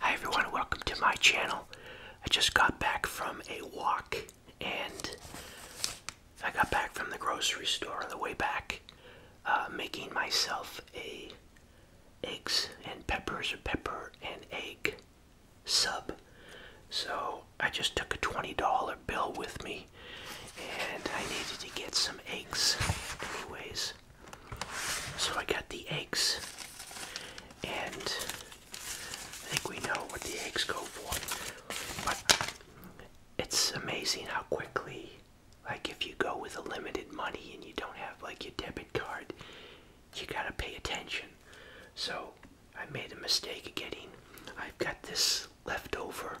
Hi everyone, welcome to my channel. I just got back from a walk and I got back from the grocery store on the way back uh, making myself a eggs and peppers or pepper and egg sub. So I just took a $20 bill with me and I needed to get some eggs anyways. So I got the eggs, and I think we know what the eggs go for. But it's amazing how quickly, like if you go with a limited money and you don't have like your debit card, you gotta pay attention. So I made a mistake of getting. I've got this leftover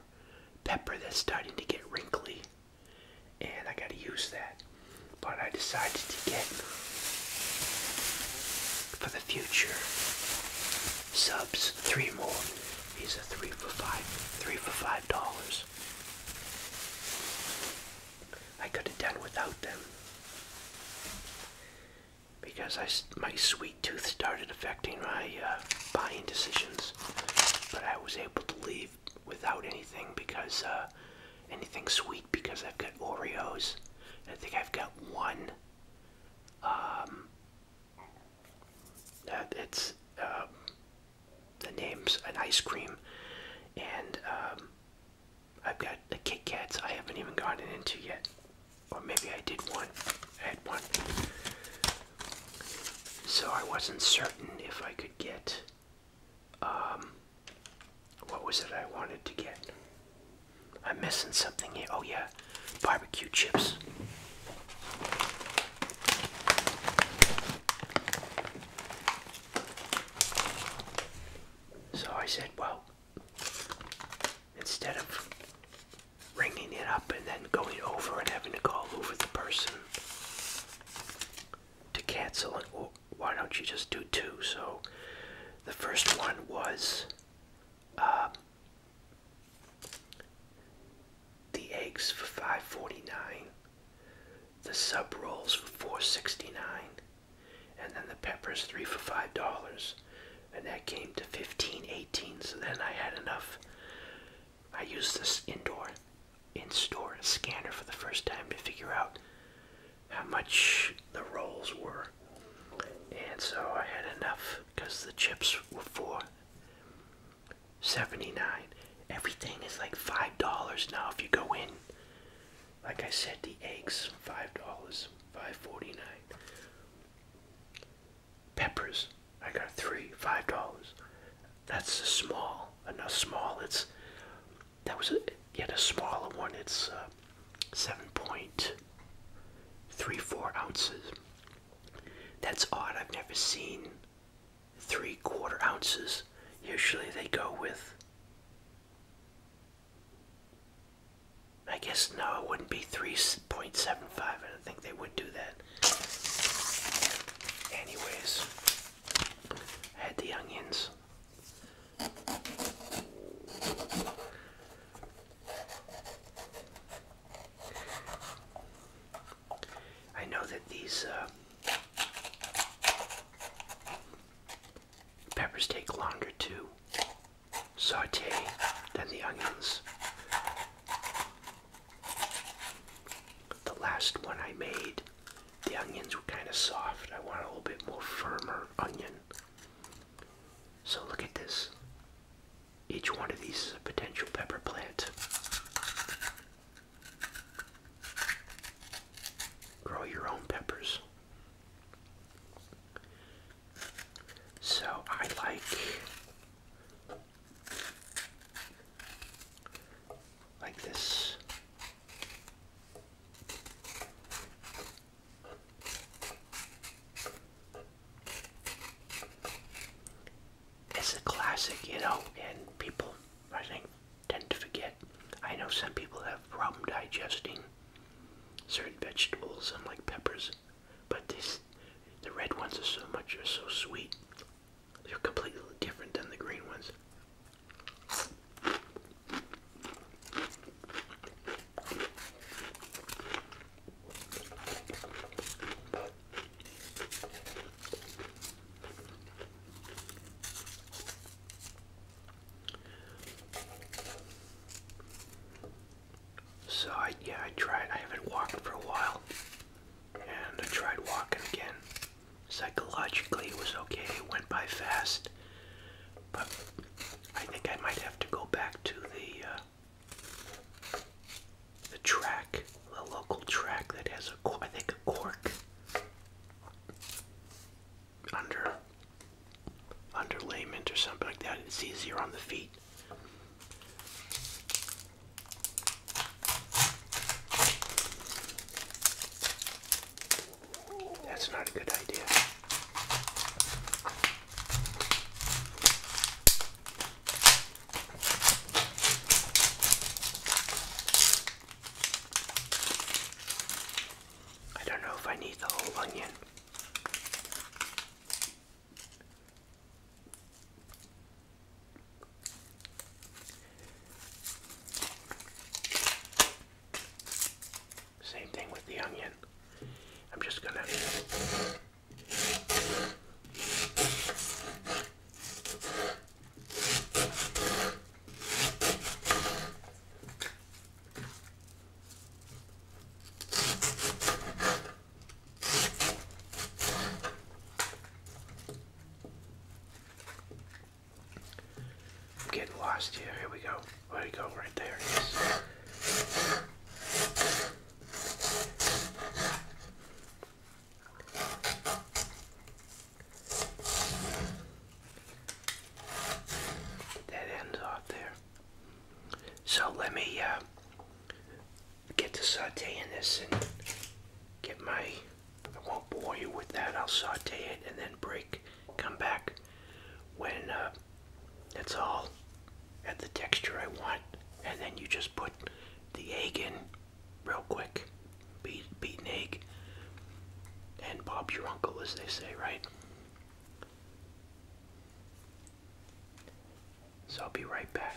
pepper that's starting to get wrinkly and I gotta use that. But I decided to get for the future subs three more. These are three for five, three for five dollars. I could have done without them because my sweet tooth started affecting my uh, buying decisions, but I was able to leave without anything because uh, anything sweet because I've got Oreos. I think I've got one. Um, it's um, the name's an ice cream, and um, I've got the Kit Kats. I haven't even gotten into yet, or maybe I did one. I had one, so I wasn't certain if I could get um, what was it I wanted to get? I'm missing something here. Oh, yeah, barbecue chips. So I said, well, instead of ringing it up and then going over and having to call over the person to cancel an, why don't you just do two? So the first one was um, the eggs for five forty nine, the sub rolls for four sixty nine, and then the peppers three for five dollars, and that came to fifteen eighteen. So then I had enough. I used this indoor in store scanner for the first time to figure out how much the rolls were. And so I had enough because the chips were four seventy nine. Everything is like five dollars now if you go in. Like I said, the eggs five dollars, five forty nine. Peppers, I got three, five dollars. That's a small. Enough small. It's that was a, yet a smaller one. It's uh, 7.34 ounces. That's odd. I've never seen three quarter ounces. Usually they go with. I guess no, it wouldn't be 3.75. I don't think they would do that. Anyways, add the onions. I know that these uh, peppers take longer to saute than the onions. The last one I made the onions were kind of soft. I want a little bit more firmer onion. So look at this. Each one of these potential pepper plant. Grow your own peppers. So I like like this. It's a classic, you know, and people, I think, tend to forget. I know some people have problem digesting certain vegetables and like peppers, but this, the red ones are so much, are so sweet. They're completely different than the green ones. So I, yeah, I tried. I haven't walked for a while, and I tried walking again. Psychologically, it was okay. It went by fast. But I think I might have to go back to the uh, the track, the local track that has a I think a cork under underlayment or something like that. It's easier on the feet. That's not a good idea. I don't know if I need the whole onion. Same thing with the onion. I'm just gonna I'm getting lost here. Here we go. There we go. Right there. That ends off there. So let me uh, get to sauteing this and get my. I won't bore you with that. I'll saute it and then break come back when uh, it's all at the texture I want, and then you just put the egg in real quick, beat, egg, and Bob your uncle, as they say, right? So I'll be right back.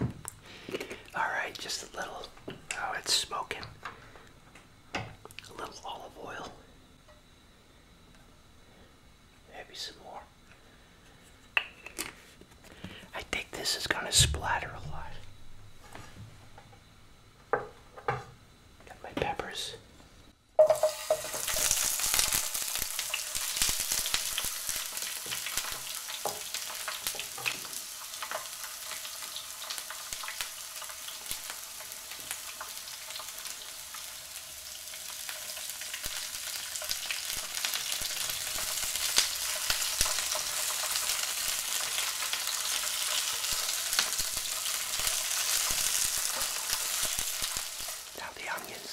All right, just a little. Oh, it's smoking a little olive oil, maybe some more. I think this is going to splatter a lot. Got my peppers. Now the onions.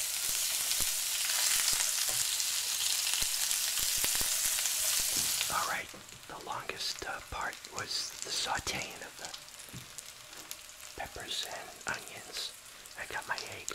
All right, the longest uh, part was the sauteing of the peppers and onions. I got my egg.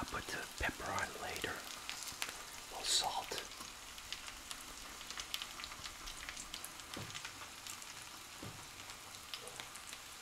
I'll put the pepper on later. A little salt.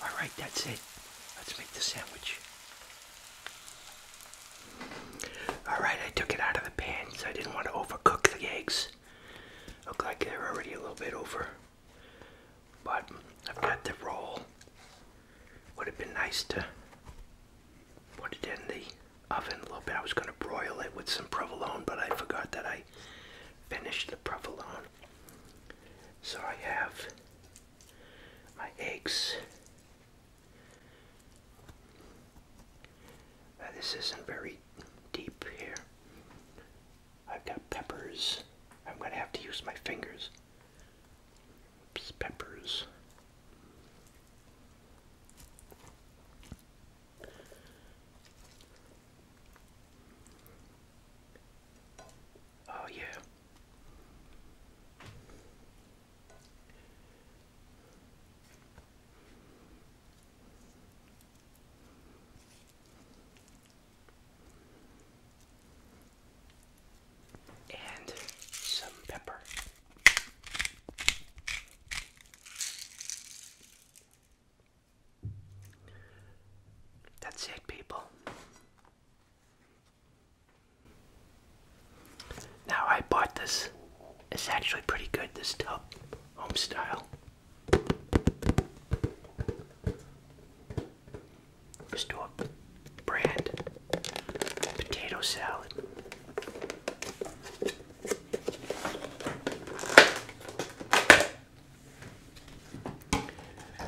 All right, that's it. Let's make the sandwich. Alright, I took it out of the pan, so I didn't want to overcook the eggs. Look like they're already a little bit over. But I've got the roll. Would have been nice to put it in the oven a little bit. I was going to broil it with some provolone, but I forgot that I finished the provolone. So I have my eggs uh, this isn't very deep here. I've got peppers. I'm going to have to use my fingers. peppers. Oh, yeah and some pepper. That's it, people. Now I bought this. It's actually pretty good, this tub, home style. brand potato salad.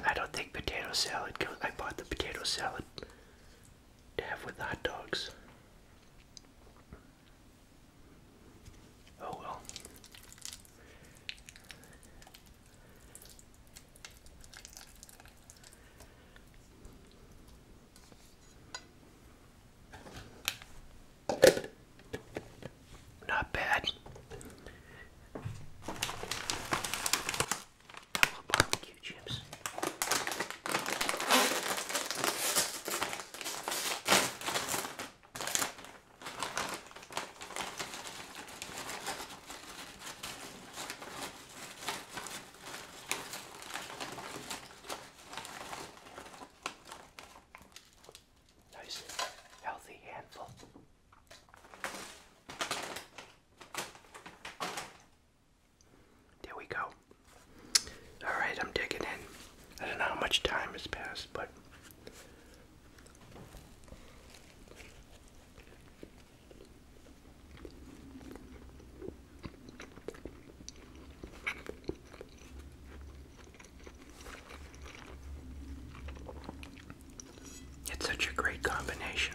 I don't think potato salad goes. I bought the potato salad to have with hot dogs. Oh well. Not bad. barbecue chips. Nice, healthy handful. There we go. Alright, I'm digging in. I don't know how much time has passed, but. It's such a great combination.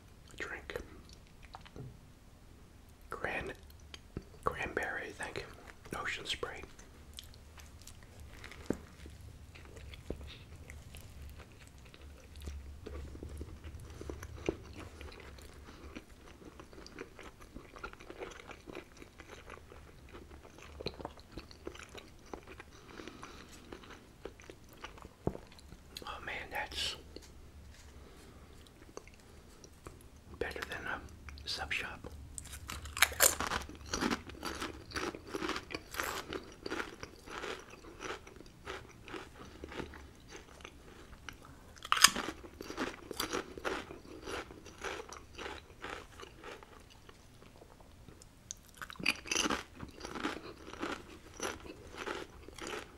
drink. Gran cranberry, thank you. Ocean spray. Oh man, that's better than a sub shop.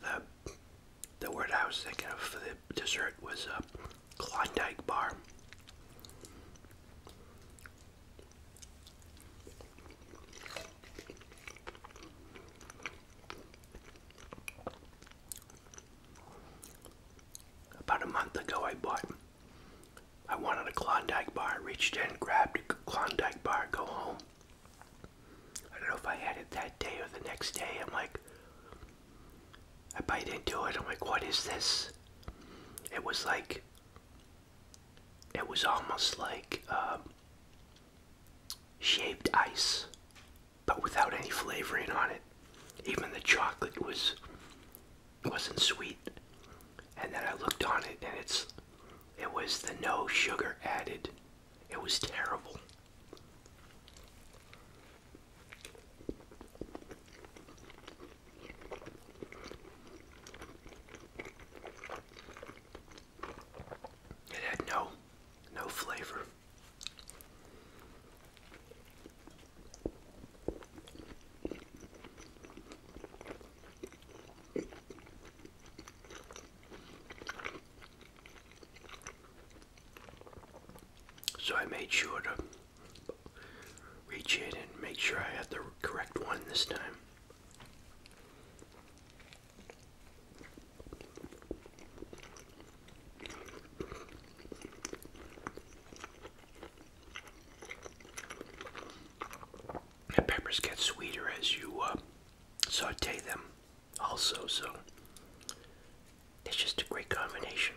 The, the word I was thinking of for the dessert was a Klondike bar. About a month ago, I bought. I wanted a Klondike bar. Reached in, grabbed a Klondike bar, go home. I don't know if I had it that day or the next day. I'm like, I bite into it. I'm like, what is this? It was like it was almost like uh, shaved ice, but without any flavoring on it. Even the chocolate was wasn't sweet. And then I looked on it, and it's it was the no sugar added. It was terrible. It had no no flavor. So I made sure to reach in and make sure I have the correct one this time. The peppers get sweeter as you uh, saute them, also, so it's just a great combination.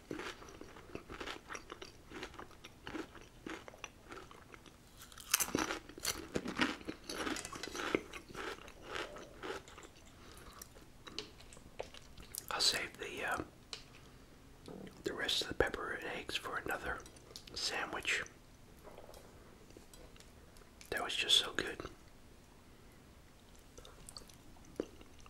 I'll save the um, the rest of the pepper and eggs for another sandwich. That was just so good.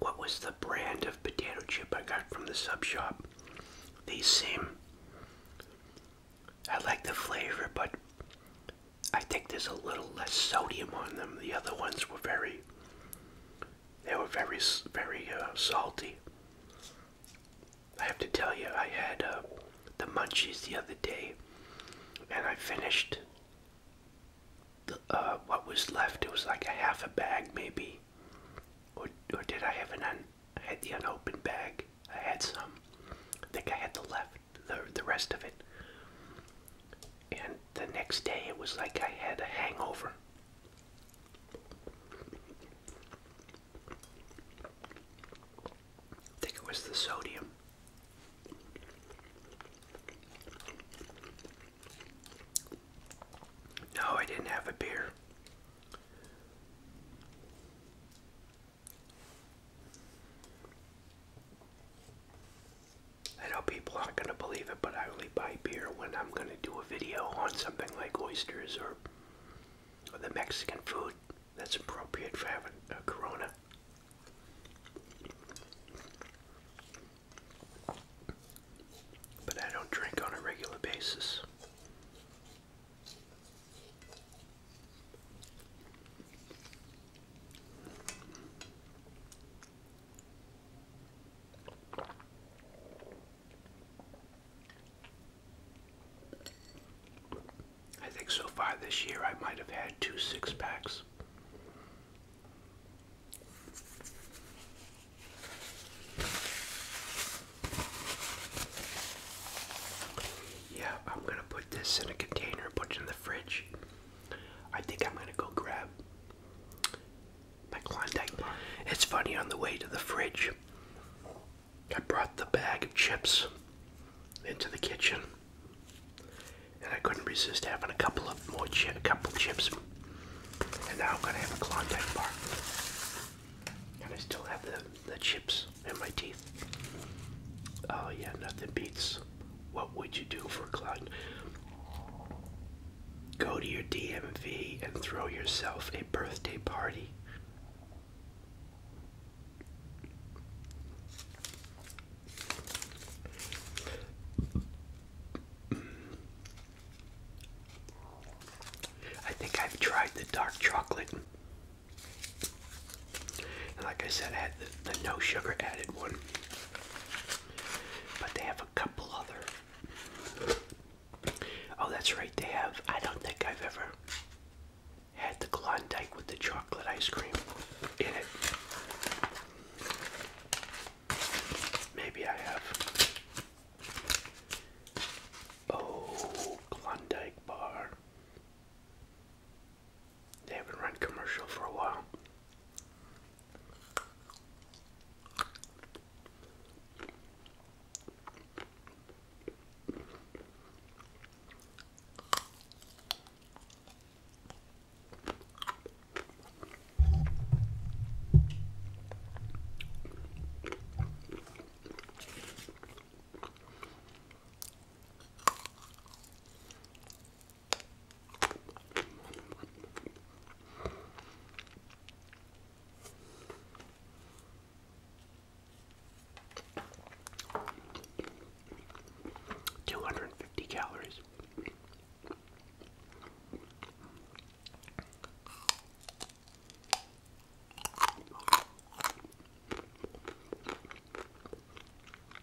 What was the brand of potato chip I got from the sub shop? These seem. I like the flavor, but I think there's a little less sodium on them. The other ones were very, they were very, very uh, salty. I have to tell you, I had uh, the munchies the other day, and I finished uh, what was left. It was like a half a bag, maybe, or or did I have an had the unopened bag. I had some. I think I had the left, the the rest of it and the next day it was like I had a hangover. I think it was the sodium. No, I didn't have a beer. I know people aren't going to believe it, but I only buy beer when I'm going to do a video on something like oysters or, the Mexican food that's appropriate for having a Corona. But I don't drink on a regular basis. I think so far this year I might have had two six packs. Yeah, I'm gonna put this in a container put it in the fridge. I think I'm gonna go grab my Klondike bar. It's funny on the way to the fridge. I brought the bag of chips into the kitchen, and I couldn't resist having a couple of more chips. And now I'm gonna have a Klondike bar, and I still have the the chips in my teeth. Oh yeah, nothing beats what would you do for Glenn? Go to your DMV and throw yourself a birthday party. I think I've tried the dark chocolate. like I said, I had the no sugar added one. But they have a couple other. Oh, that's right, they have. I don't think I've ever had the Klondike with the chocolate ice cream in it. Maybe I have. Oh, Klondike bar. They haven't run commercial for a while. Two hundred and fifty calories.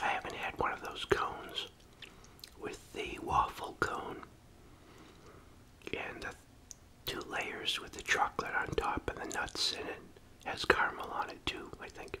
I haven't had one of those cones with the waffle cone and the two layers with the chocolate on top and the nuts in it. Has caramel on it too, I think.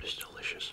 It's delicious.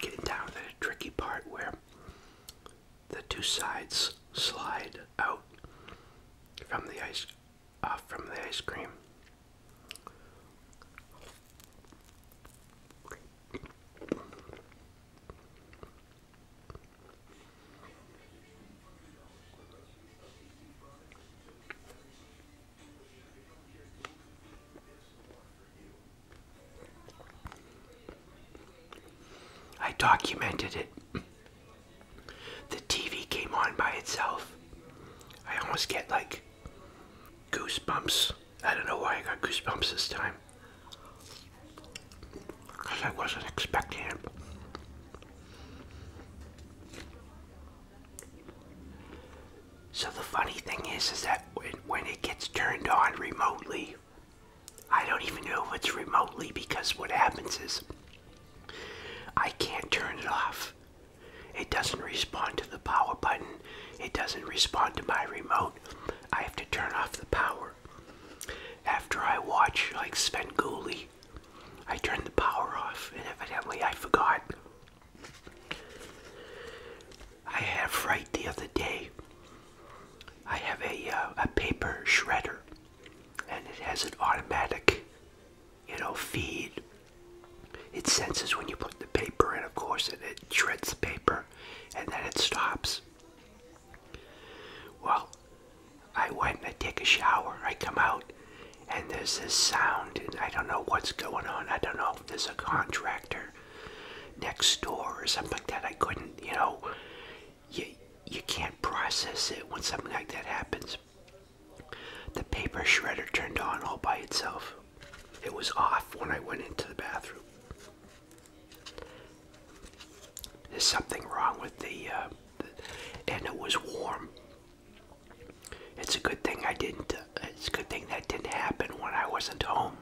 Getting down to the tricky part where the two sides slide out from the ice uh, from the ice cream. I documented it. The TV came on by itself. I almost get like goosebumps. I don't know why I got goosebumps this time. Because I wasn't expecting it. So the funny thing is, is that when, when it gets turned on remotely, I don't even know what's remotely because what happens is I can't turn it off. It doesn't respond to the power button. It doesn't respond to my remote. I have to turn off the power. After I watch like Sven Gulli, I turn the power off and evidently I forgot. I have right the other day. I have a uh, a paper shredder, and it has an automatic, you know, feed. It senses when you put the paper in, of course, and it shreds the paper, and then it stops. Well, I went and I take a shower. I come out, and there's this sound, and I don't know what's going on. I don't know if there's a contractor next door or something like that. I couldn't, you know, you, you can't process it when something like that happens. The paper shredder turned on all by itself. It was off when I went into the bathroom. There's something wrong with the, the uh, and it was warm. It's a good thing I didn't. Uh, it's a good thing that didn't happen when I wasn't home,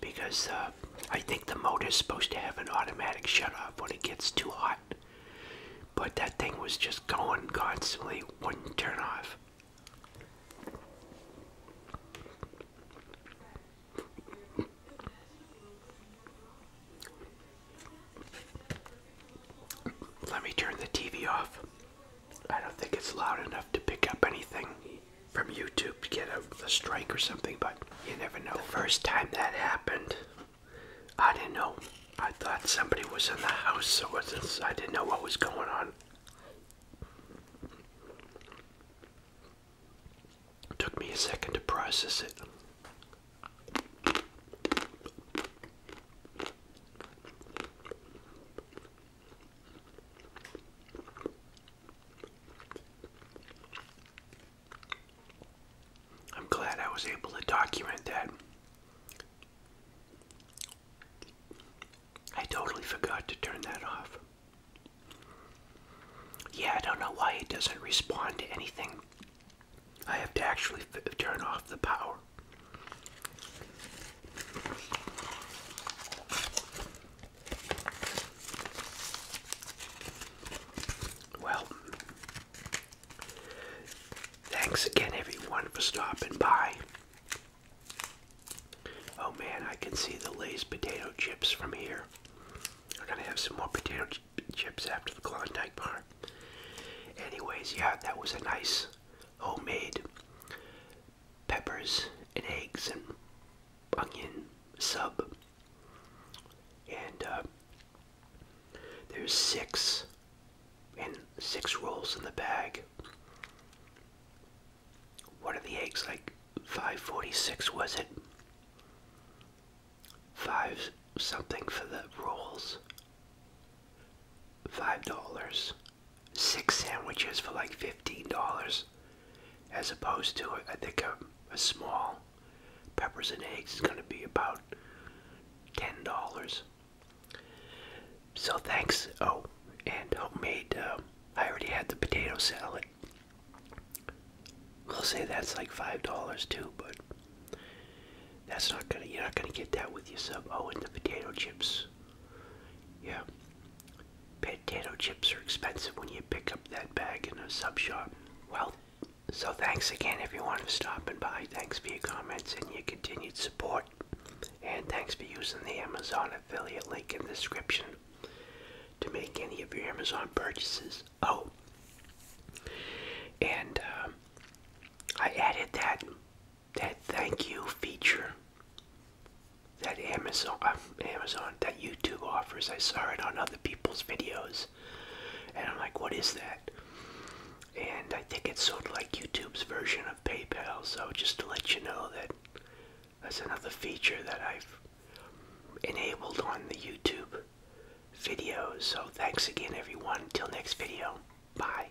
because uh, I think the motor's supposed to have an automatic shut-off when it gets too hot. But that thing was just going constantly, wouldn't turn off. Let me turn the TV off. I don't think it's loud enough to pick up anything from YouTube to get a, strike or something, but you never know. The first time that happened, I didn't know. I thought somebody was in the house, so wasn't, I didn't know what was going on. took me a second to process it. I'm glad I was able to document that. I totally forgot to turn that off. Yeah, I don't know why it doesn't respond to anything. I have to actually turn off the power. Well, thanks again, everyone, for stopping by. Oh man, I can see the Lay's potato chips from here. I'm gonna have some more potato chips after the Klondike bar. Anyways, yeah, that was a nice homemade peppers and eggs and onion sub. And uh, there's six and six rolls in the bag. What are the eggs like? 546 was it? Five something for the rolls. Five dollars six sandwiches for like $15 as opposed to I think a, small peppers and eggs is going to be about $10. So thanks. Oh, and homemade, uh, I already had the potato salad. We'll say that's like $5 too, but that's not gonna, you're not gonna get that with yourself. Oh, and the potato chips yeah. Potato chips are expensive when you pick up that bag in a sub shop. Well, so thanks again everyone for stopping by. Thanks for your comments and your continued support. And thanks for using the Amazon affiliate link in the description to make any of your Amazon purchases. Oh, and um, I added that that thank you feature that Amazon, Amazon, that YouTube offers. I saw it on other people's videos, and I'm like, what is that? And I think it's sort of like YouTube's version of PayPal. So just to let you know that that's another feature that I've enabled on the YouTube videos. So thanks again, everyone. Till next video. Bye.